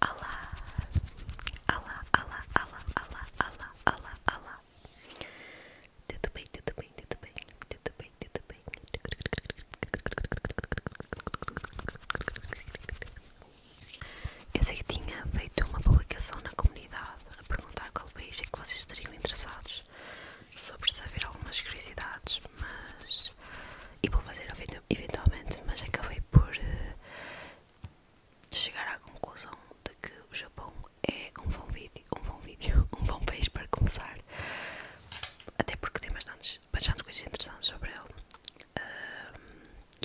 Alá, alá, alá, alá, alá, alá, alá, alá. Tudo bem, tudo bem, tudo bem, tudo bem, tudo bem. Eu sei que tinha feito uma publicação na comunidade a perguntar qual país é que vocês estariam interessados sobre saber algumas curiosidades, mas. E vou fazer a fim do eventualmente, mas acabei por chegar à conclusão de que o Japão é um bom vídeo, um bom vídeo, um bom país para começar, até porque tem bastantes, bastantes coisas interessantes sobre ele uh,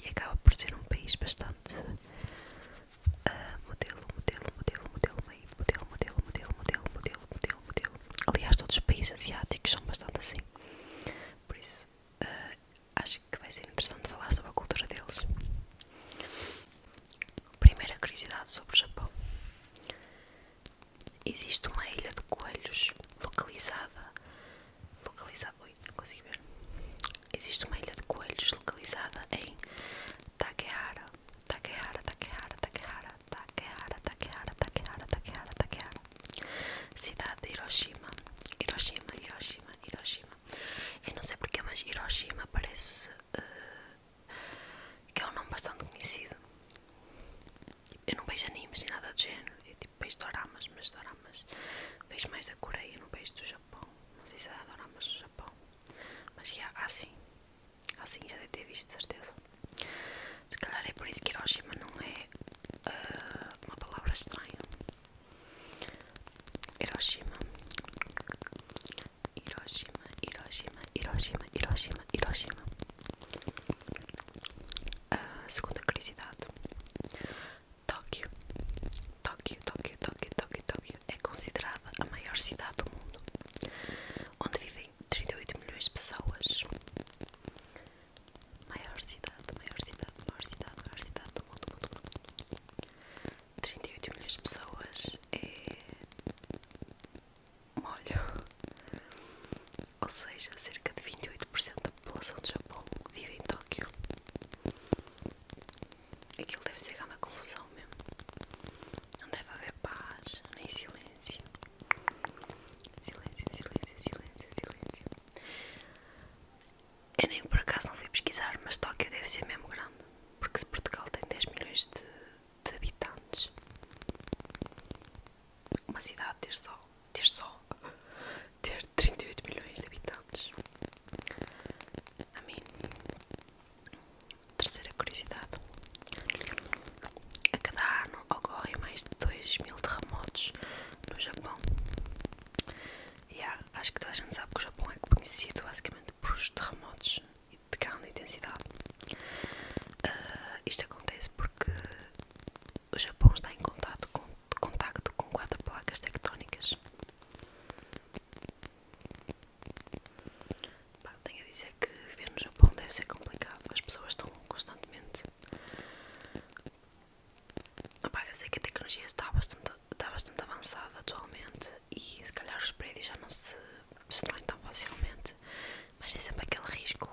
e acaba por ser um país bastante modelo, modelo, modelo, modelo, modelo, modelo, modelo, modelo, modelo, modelo, modelo. Aliás, todos os países asiáticos são bastante assim. Por isso ah, acho que vai ser interessante falar sobre a cultura deles. Primeira curiosidade sobre o Japão: existe uma ilha de coelhos localizada. localizada oi, não consigo ver. Existe uma ilha de coelhos localizada em Takehara. Takehara, Takehara, Takehara, Takehara, Takehara, Takehara, Takehara, Takehara, Cidade de Hiroshima. Hiroshima, Hiroshima, Hiroshima. Eu não sei porque, mas Hiroshima parece eh, que é um nome bastante conhecido. Eu não vejo animes nem nada do género. Eu tipo vejo doramas, mas doramas. Vejo mais da Coreia, não vejo do Japão. Não sei se é doramas do Japão. Mas já, assim sim. já deve ter visto, de certeza. Se calhar é por isso que Hiroshima não é é, ah, uma palavra estranha. Hiroshima. Hiroshima, Hiroshima, Hiroshima, Hiroshima, Hiroshima. Ah, segunda curiosidade. Tóquio. Tóquio, Tóquio, Tóquio, Tóquio, Tóquio é considerada a maior cidade do mundo, onde vivem 38 milhões de pessoas. Maior cidade, maior cidade, maior cidade, maior cidade do mundo, mundo, mundo. 38 milhões de pessoas é molho. Ou seja, cerca de 28% da população do Japão vive em Tóquio. Aquilo deve ser grande confusão mesmo. Não deve haver paz, nem silêncio. Silêncio, silêncio, silêncio, silêncio. Eu nem por acaso não fui pesquisar, mas Tóquio deve ser mesmo grande. Porque se Portugal tem 10 milhões de, habitantes, uma cidade ter só, ter só, ter 38 milhões de habitantes. A mim. Terceira curiosidade. A cada ano ocorrem mais de 2 mil terremotos no Japão. acho que toda a gente sabe que o Japão é conhecido basicamente por os terremotos de grande intensidade. Ah, isto acontece porque o Japão está em contato com, contacto com quatro placas tectónicas. tenho a dizer que viver no Japão deve ser complicado, as pessoas estão constantemente Opa, eu sei que a tecnologia está bastante, está bastante avançada atualmente e se calhar os prédios já não se destroem tão facilmente, mas é sempre aquele risco.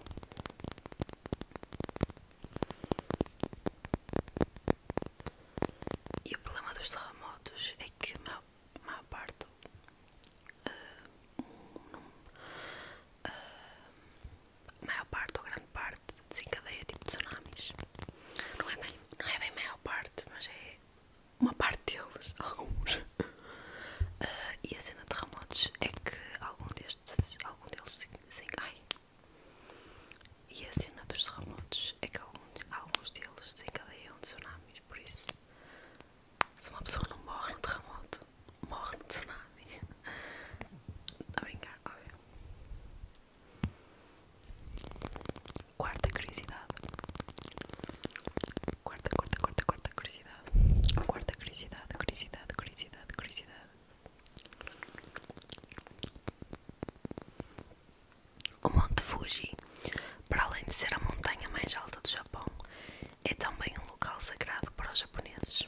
E o problema dos terremotos é que a maior, maior parte uh, um, uh, maior parte ou grande parte desencadeia é tipo tsunamis. Não é, bem, não é bem maior parte, mas é uma parte deles, alguns. Ah, e a cena de terremotos é que algum destes, algum deles dizem ai. E a cena dos é que alguns, alguns deles desencadeiam tsunamis, por isso se uma pessoa não morre no terremoto, morre no tsunami. Tá a brincar, óbvio. Quarta curiosidade. Quarta, quarta, quarta, quarta curiosidade. Quarta curiosidade, curiosidade, curiosidade, curiosidade. O Monte Fuji, para além de ser a montanha mais alta do Japão, é também um local sagrado para os japoneses.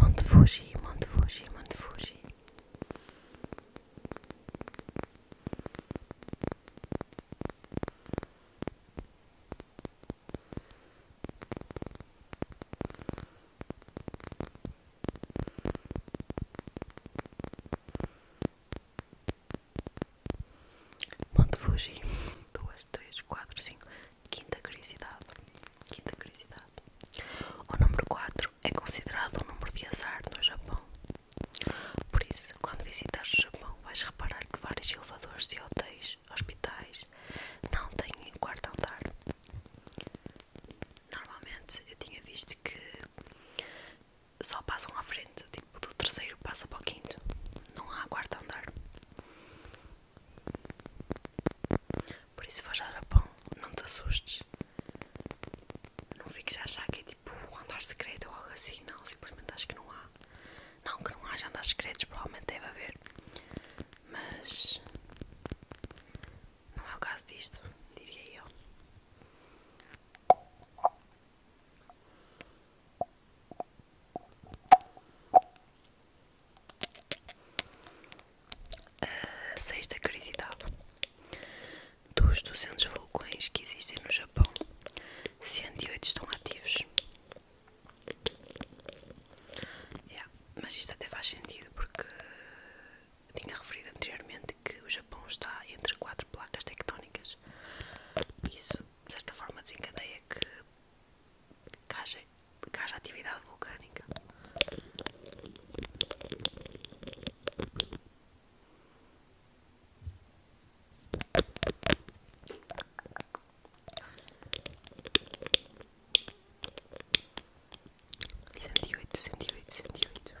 Monte Fuji, Monte Fuji, Monte Fuji. Monte Fuji, duas, três, quatro, cinco. Quinta curiosidade. Quinta curiosidade. O número 4 é considerado um número de azar no Japão. Por isso, quando visitares o Japão, vais reparar que vários elevadores de hotéis, hospitais, não têm um quarto andar normalmente eu tinha visto que só passam à frente, tipo do terceiro passa para o quinto, não há quarto andar. Por isso, se for já ao Japão, não te assustes, não fiques a achar que é, tipo andar secreto ou algo assim, não, simplesmente acho que não há. Não que não haja andares secretos, provavelmente deve haver, mas não é o caso disto, diria eu. A sexta curiosidade: dos 200 vulcões que existem no Japão, 108 estão ativos. Mas isto até faz sentido porque tinha referido anteriormente que o Japão está entre quatro placas tectónicas. Isso, de certa forma, desencadeia que, que, haja, que haja atividade vulcânica. 108, 108, 108.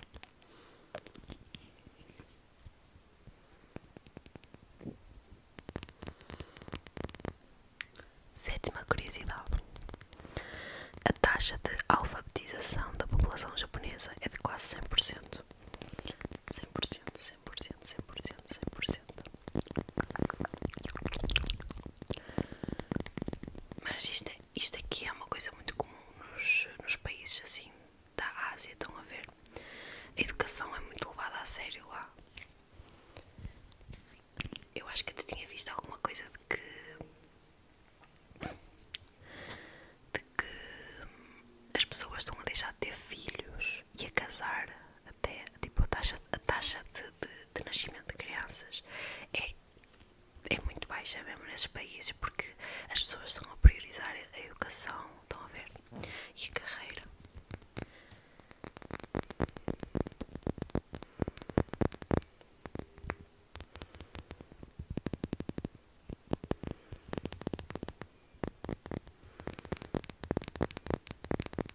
Sétima curiosidade: a taxa de alfabetização da população japonesa é de quase 100%. 100%, 100%, 100%, 100%. Mas isto, é, isto aqui é uma coisa muito comum nos, nos países assim da Ásia, estão a ver? A educação é muito levada a sério lá. Eu acho que até tinha visto alguma coisa de que. de que as pessoas estão a deixar de ter filhos e a casar tipo a taxa, de, nascimento de crianças é, é, muito baixa mesmo nesses países porque as pessoas estão a priorizar a educação, estão a ver, e a carreira.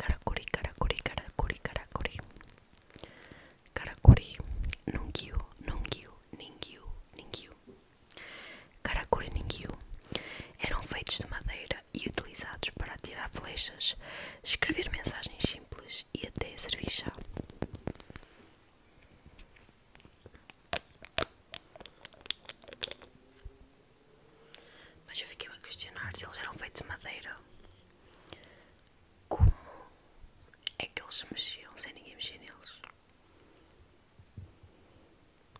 Karakuri, karakuri, karakuri, karakuri. Karakuri, nungyu, nungyu, ningyu, ningyu. Karakuri ningyu eram feitos de madeira e utilizados para atirar flechas, escrever mensagens simples e até servir chá. Mas eu fiquei a questionar se eles eram feitos de madeira. Como é que eles se mexiam sem ninguém mexer neles?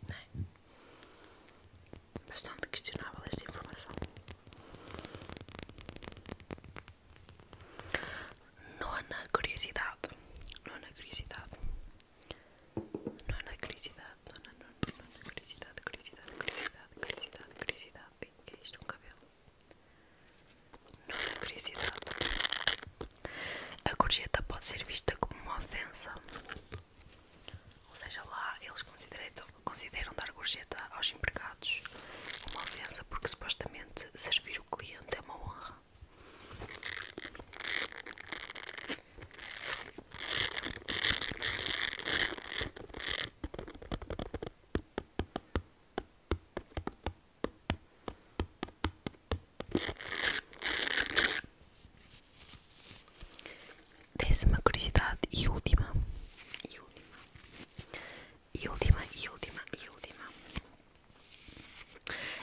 Não é? Bastante questionável esta informação. Não Nona curiosidade. não Nona curiosidade. não Nona curiosidade curiosidade, curiosidade, curiosidade, curiosidade, o que é isto? Um cabelo? Nona, curiosidade. A gorjeta pode ser vista como uma ofensa. Ou seja, lá eles consideram, consideram dar gorjeta aos empregados uma ofensa porque supostamente servir o cliente é uma honra. Décima curiosidade e última. E última. E última, última, e última.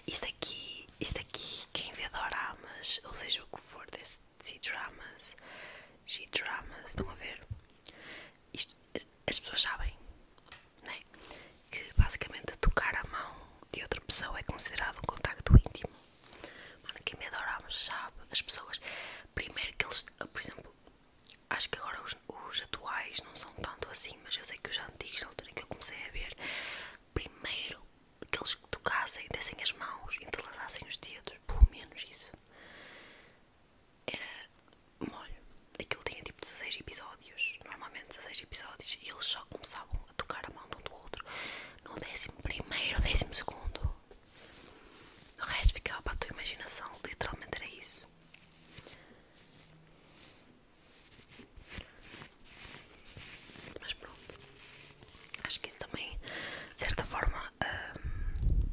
Isto aqui, isto isto quem vê doramas, ou seja, o que for desse C-dramas, G-dramas, estão a ver? as pessoas sabem né? que basicamente tocar a mão de outra pessoa é considerado um contacto íntimo. Mano, quem vê adoramos sabe, as pessoas, primeiro que eles, ah, por exemplo, acho que agora os, os atuais não são tanto assim, mas eu sei que os antigos, na altura em que eu comecei a ver, primeiro que eles tocassem, dessem as mãos, entrelaçassem os dedos, pelo menos isso. Era molho. Aquilo tinha tipo 16 episódios, normalmente 16 episódios, e eles só começavam a tocar a mão de um do outro no 11 primeiro, 12 segundo. O resto ficava para a tua imaginação, literalmente era isso. Mas pronto, acho que isso também, de certa forma, hum,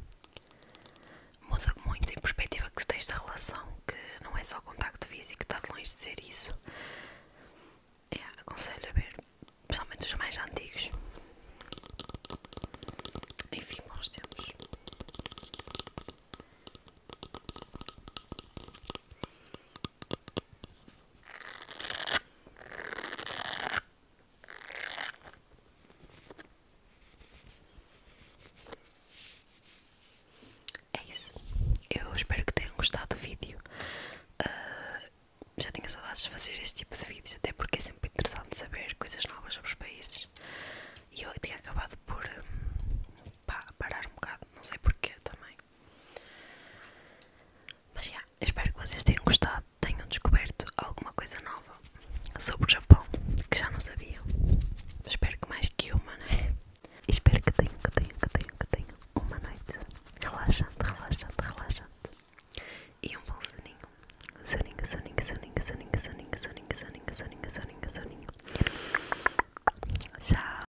muda muito em perspectiva que tens da relação, que não é só o contacto físico, está de longe de ser isso. É, aconselho a ver, principalmente os mais antigos. Enfim, nós temos é isso. Eu espero que tenham gostado do vídeo. Ah, já tinha saudades de fazer este tipo de vídeos, até porque é sempre interessante saber coisas novas sobre os países. E eu tinha acabado por hum, parar um bocado, não sei porquê também. Mas já, espero que vocês tenham gostado, tenham descoberto alguma coisa nova sobre o Japão que já não sabiam. Espero que mais que uma, não é? espero que tenham, que tenham, que tenham, que tenham uma noite relaxante, relaxante, relaxante e um bom soninho. Soninho, soninho, soninho, soninho, soninho, soninho, soninho, soninho, soninho, soninho. Tchau.